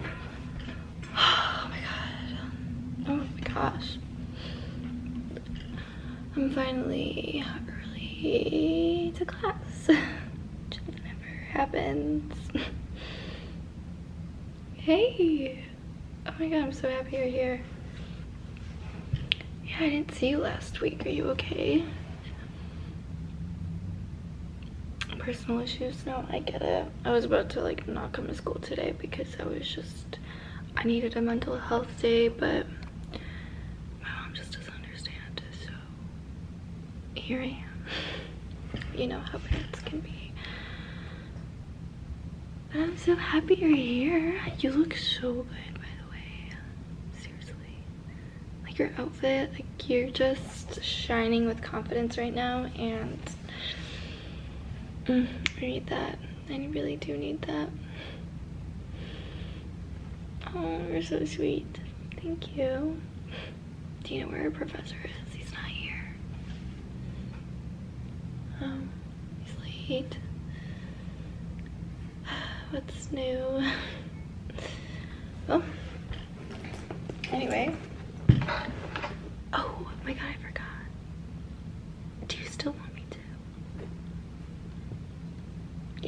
Oh my god. Oh my gosh. I'm finally early to class. Which never happens. hey! Oh my god, I'm so happy you're here. Yeah, I didn't see you last week. Are you okay? Personal issues? No, I get it. I was about to like not come to school today because I was just, I needed a mental health day, but my mom just doesn't understand, so here I am. You know how parents can be. I'm so happy you're here. You look so good, by the way. Seriously. Like your outfit, like you're just shining with confidence right now and mm, I need that. I really do need that. Oh, you're so sweet. Thank you. Do you know where our professor is? He's not here. Um, he's late. What's new? Well, Anyway. Oh my god, I forgot. Do you still want me to?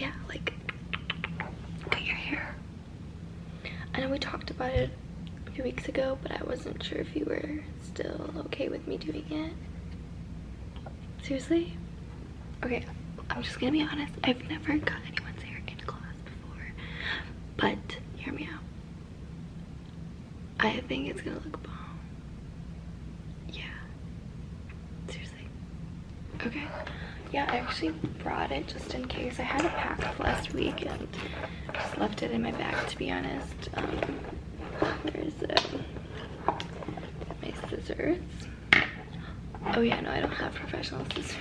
Yeah, like, cut your hair. I know we talked about it a few weeks ago, but I wasn't sure if you were still okay with me doing it. Seriously? Okay, I'm just gonna be honest. I've never cut anyone's hair in class. But hear me out. I think it's gonna look bomb. Yeah. Seriously. Okay. Yeah, I actually brought it just in case. I had a pack last week and just left it in my bag to be honest. Um, My scissors. Oh yeah, no, I don't have professional scissors.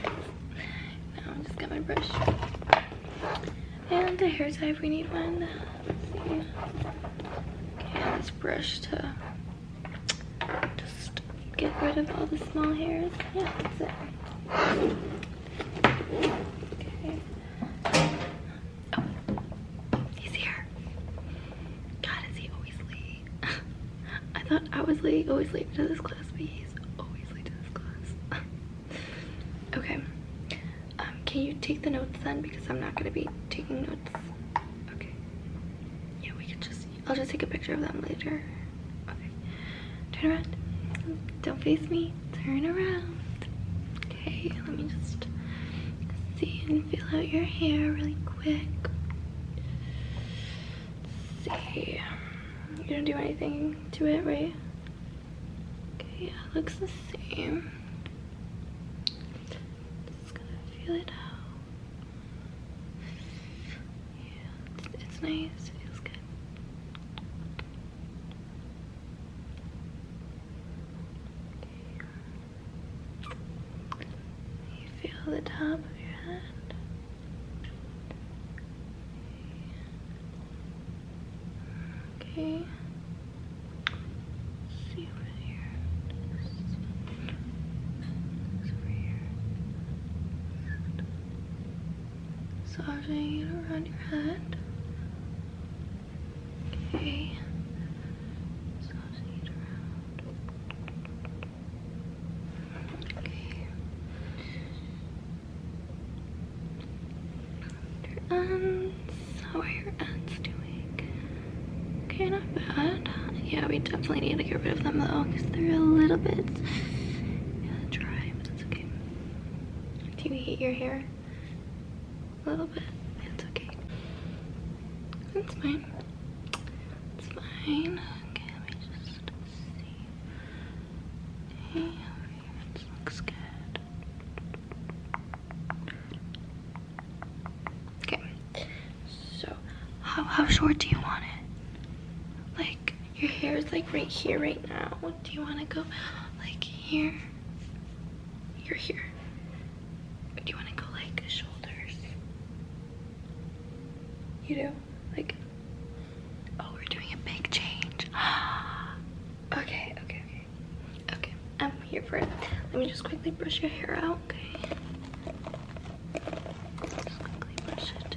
I'm just got my brush. And a hair tie if we need one. this brush to just get rid of all the small hairs. Yeah, that's it. Okay. Oh, he's here. God, is he always late? I thought I was late, always late to this class. okay. Um, can you take the notes then? Because I'm not gonna be taking notes. Okay. Yeah, we could just, I'll just take a picture of them later. Okay. Turn around. Don't face me. Turn around. Okay, let me just see and feel out your hair really quick. Let's see you don't do anything to it, right? Okay, yeah, it looks the same. Just gonna feel it out. Yeah, it's, nice. It feels good. You feel the top of your head. Okay. see over here. over here. Massaging it around your head. Okay. Okay. Your ends. How are your ends doing? Okay, not bad. Yeah, we definitely need to get rid of them though, because they're a little bit dry, but that's okay. Do you hate your hair? A little bit. It's okay. It's fine. It's fine. Okay, let me just Okay. So, how how short do you want it? Like your hair is like right here right now. What Do you want to go like here? You're here. do you want to go like shoulders? You do? Like, oh, we're doing a big change. okay, okay, okay. Okay, I'm here for it. Let me just quickly brush your hair out, okay? quickly brush it.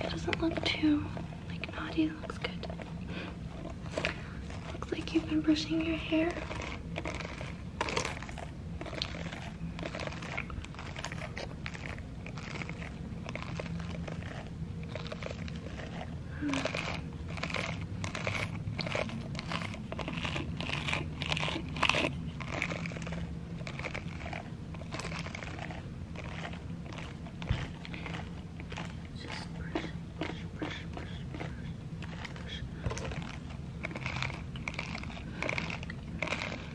It doesn't look too, like, naughty. It looks good. Looks like you've been brushing your hair. Just brush, brush, brush, brush, brush, brush.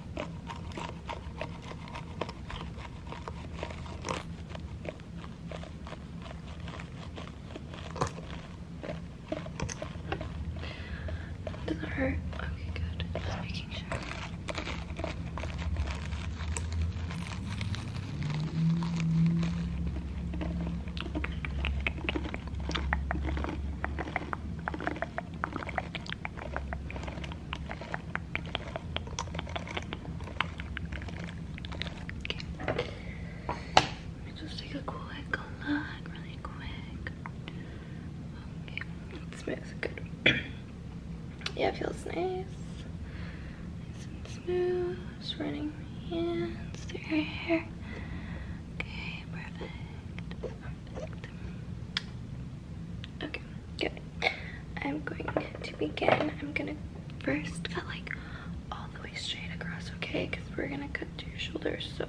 Does it hurt? Okay, good. Just making sure. Let me just take a quick look, really quick. Okay, it smells good. yeah, it feels nice. and smooth. Just running my hands through your hair. Okay, Perfect. Okay. Okay, I'm going to begin. I'm gonna first cut like all the way straight across, okay? Because we're gonna cut to your shoulders. So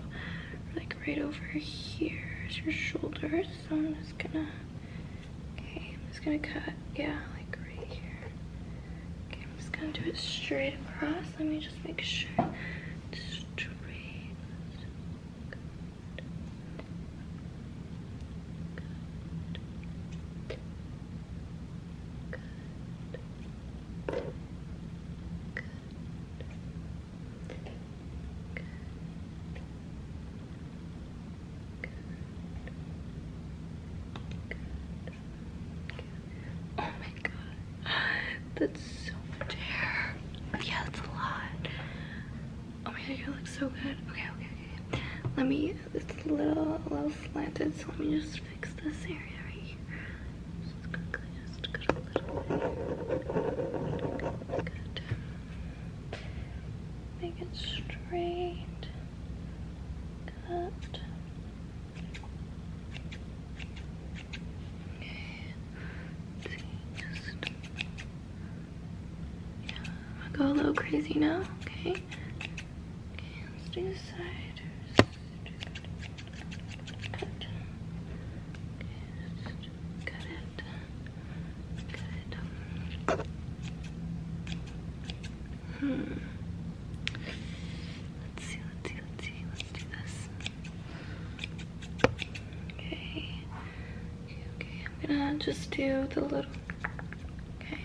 like right over here is your shoulders. So I'm just gonna, okay, I'm just gonna cut, yeah, like right here. Okay, I'm just gonna do it straight across. Let me just make sure. Straight. Oh my god, that's so much hair. Yeah, that's a lot. Oh my god, you look so good. Okay, okay, okay. Let me, it's a little, a little slanted, so let me just fix this area right here. Just quickly, a little bit. Make it straight. Cut. Okay. I'm gonna go a little crazy now, okay? let's do this hmm. Let's see, let's see, let's see. Let's do this. Okay. Okay, I'm gonna just do the little, okay.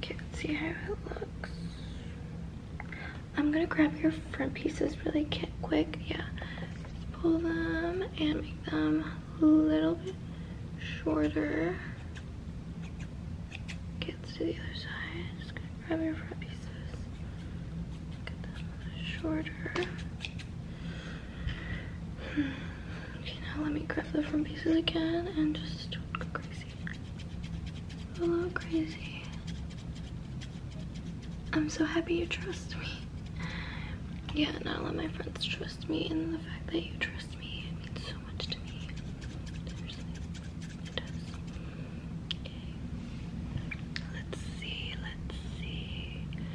Can't see how it looks. I'm gonna grab your front pieces really quick. Yeah, pull them and make them a little bit shorter. Gets to the other side grab your front pieces. Get them shorter. Hmm. Okay, now let me grab the front pieces again and just a little crazy. I'm so happy you trust me. Yeah, not a of my friends trust me, and the fact that you trust me means so much to me. Let's see, let's see. Let's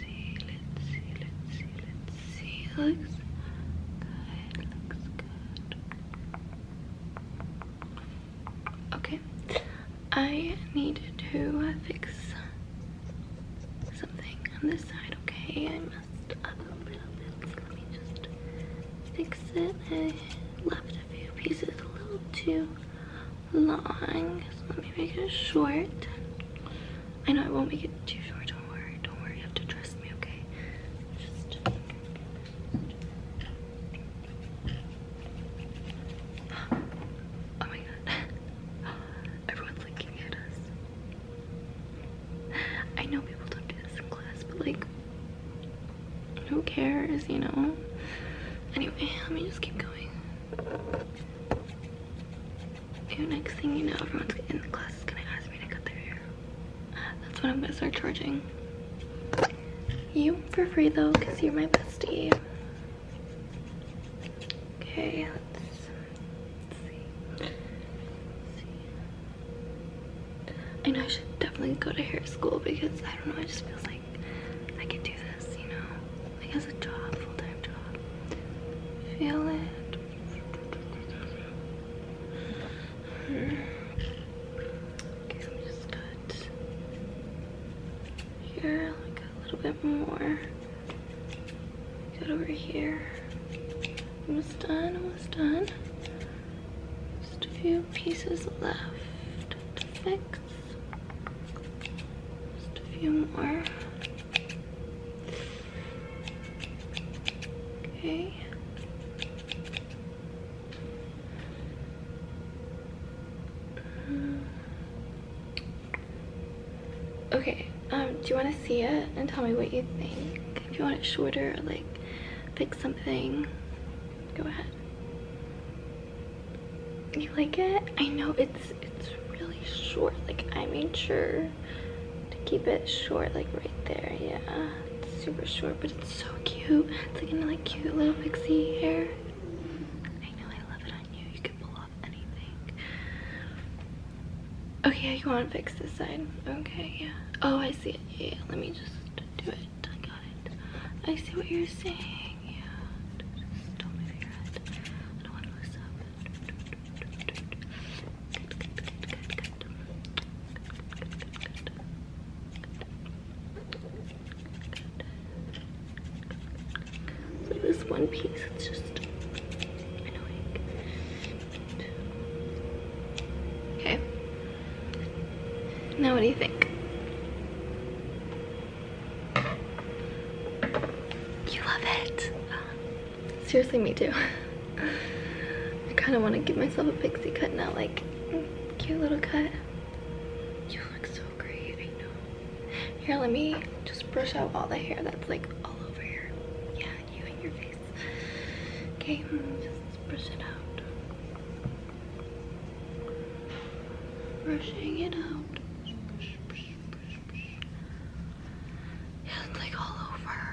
see, let's see, let's see, let's see. Looks good, looks good. Okay. I need to fix something on this side, okay? I messed let me just fix it left a few pieces a little too long. let me make it short. I know I won't make it too short, don't worry, don't worry, you have to trust me, okay? Oh my god. Everyone's looking at us. I know people don't do this in class, but like, who cares, you know? Anyway, let me just keep going. Dude, next thing you know, everyone's in the class is gonna ask me to cut their hair. That's when I'm gonna start charging. You for free though, because you're my bestie. Okay, I know I should definitely go to hair school because I don't know, it just feels like I can do this, you know? Like have a job, full-time job. Feel it. Okay, i let just cut here, a little bit more. Cut over here. Almost done, almost done. Just a few pieces left to fix. Just a few more. Okay. Mm. Okay, um, do you want to see it and tell me what you think? If you want it shorter, like fix something. Go ahead. You like it? I know it's it's really short. Like I made sure to keep it short, like right there. Yeah, super short, but it's so cute. It's like in like cute little pixie hair. I know I love it on you. You can pull off anything. Okay, you want to fix this side? Okay, yeah. Oh, I see it. Yeah, let me just do it. I got it. I see what you're saying. Yeah. don't move your head. I don't want to mess up. Good, good, this one piece, it's just annoying. Okay. Now what do you think? You love it. Seriously, me too. I kind of want to give myself a pixie cut now, like cute little cut. You look so great, I know. Here, let me just brush out all the hair that's like all over here. Yeah you hit your face. Okay, just brush it out. Brushing it out. Brush, brush, brush, brush. Yeah, it's like all over.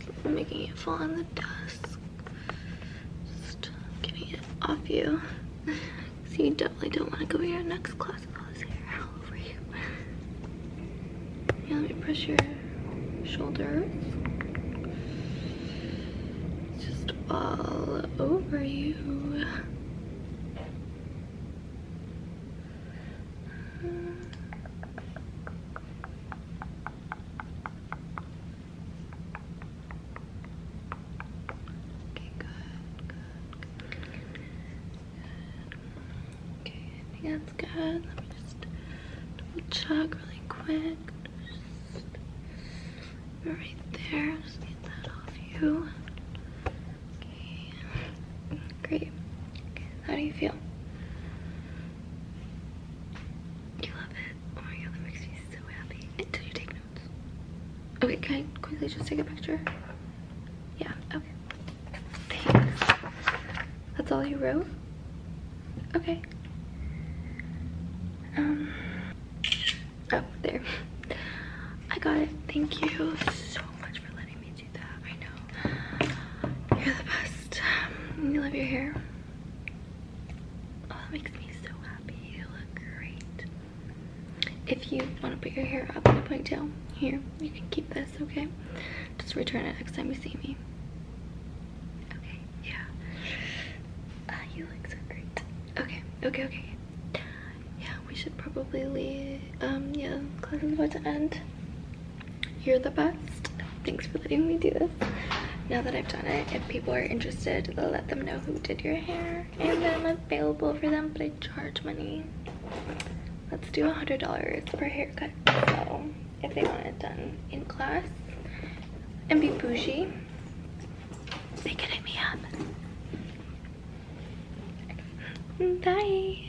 I'm making it fall on the dust, Just getting it off you. So you definitely don't want to go here next class if I was here over you. Yeah, let me press your shoulders. Just all over you. Okay, good, good, good. Okay, I think that's good. Let me just double check really quick. right there. Just get that off you. Great. how do you feel? Oh okay, can I quickly just take a picture? Yeah, okay. Thanks. That's all you wrote? Okay. Um, oh, there. I got it. Thank you so much for letting me I know. You're the best. Um, you love your hair. Oh, that makes me so happy. You look great. If you want to put your hair up in a ponytail, here, you can keep this, okay? Just return it next time you see me. Okay, yeah. Uh, you look so great. Okay, okay, okay. Yeah, we should probably leave. Um, yeah, class is about to end. You're the best. Thanks for letting me do this. Now that I've done it, if people are interested, let them know who did your hair and that I'm available for them, but I charge money. Let's do $100 per haircut. So if they want it done in class and be bougie, they can hit me up. Bye.